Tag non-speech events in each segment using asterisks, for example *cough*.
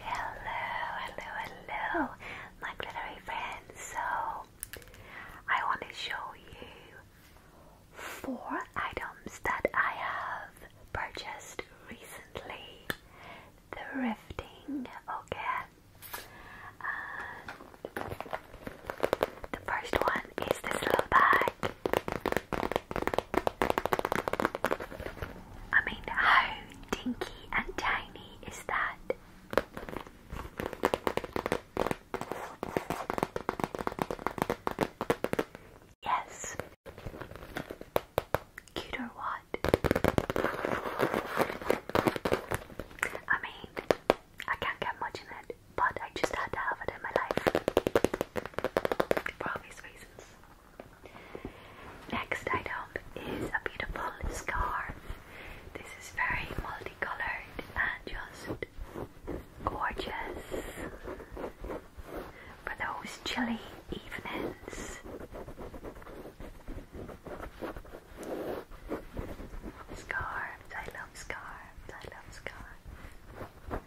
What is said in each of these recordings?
hello, hello, my glittery friends. So, I want to show you four items that I have purchased recently thrifting. Okay, the first one is this little bag. I mean, how dinky and tiny is that? Yes. Cute what? I mean, I can't get much in it, but I just had to have it in my life. For obvious reasons. Next item is a beautiful scarf. This is very multicolored and just gorgeous for those chilly evenings. Scarves, I love scarves, I love scarves.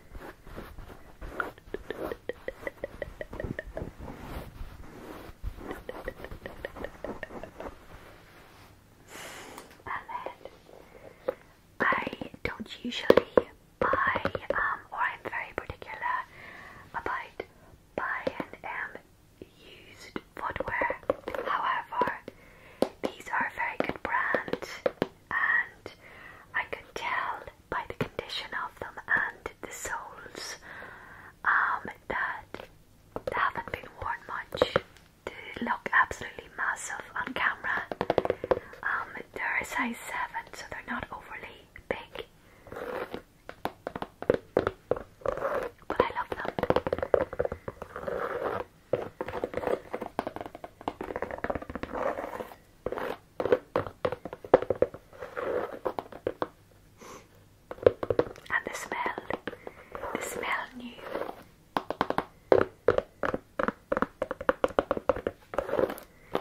I don't usually buy, um, or I'm very particular about buying used footwear. However, these are a very good brand and I can tell by the condition of them and the soles um, that they haven't been worn much. They look absolutely massive on camera. Um, they're a size 7, so they're not overly big. But I love them. And the smell, the smell new.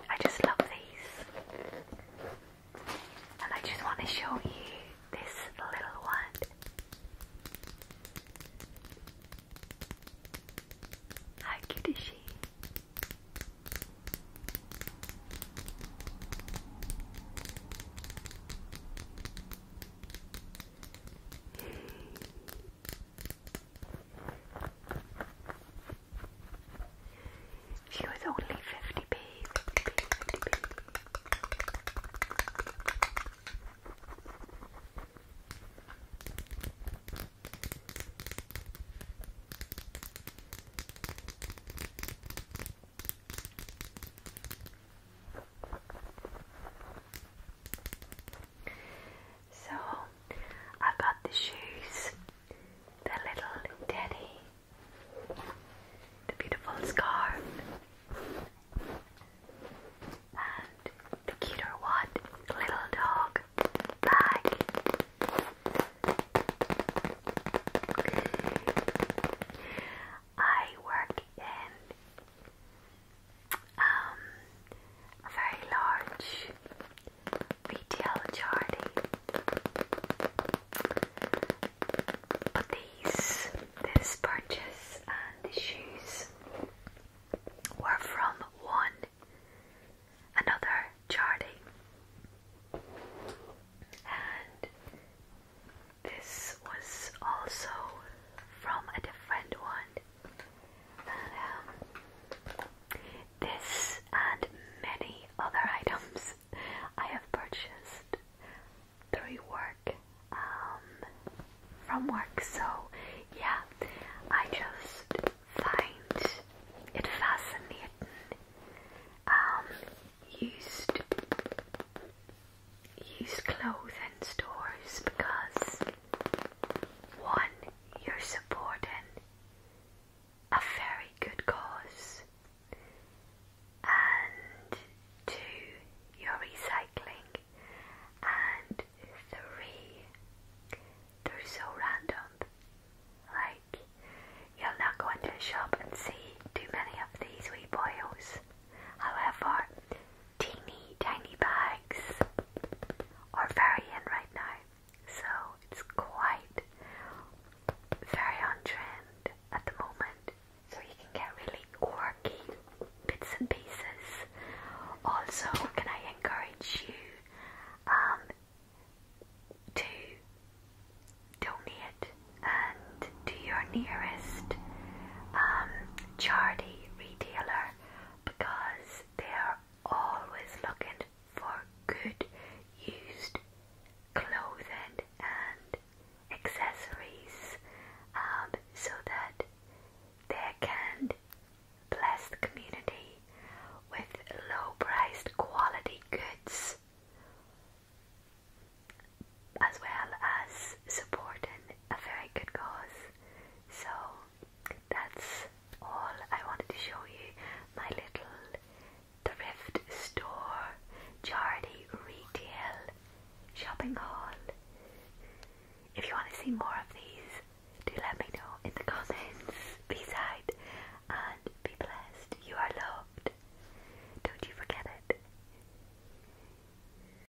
I just love these. And I just want to show you this little one. How cute is she? She was only 50p. So I've got the shoes, the little teddy the beautiful scar and the cuter one, little dog bag. I work in um, a very large retail charity but these, this purchase and the shoes were from one another charity, and this was also from a different one. Um, this and many other items I have purchased three work, um, from work. So yeah, I just find it fascinating. Um, used clothes clothing stores because one, you're supporting a very good cause and two your recycling and three they're so random like you'll not go into a shop and see too many of these wee boils however teeny tiny bags are very in right now so it's quite very on trend at the moment. So you can get really quirky bits and pieces. Also, can I encourage you um, to donate and to your nearest um, charity retailer because they are always looking for good used clothing and accessories um, so that they can bless the community with low priced quality goods as well as supporting a very good cause. So that's all I wanted to show you. My little thrift store, charity retail, shopping haul. If you want to see more of these, do let me know in the *laughs* comments. Beside and be blessed. You are loved. Don't you forget it.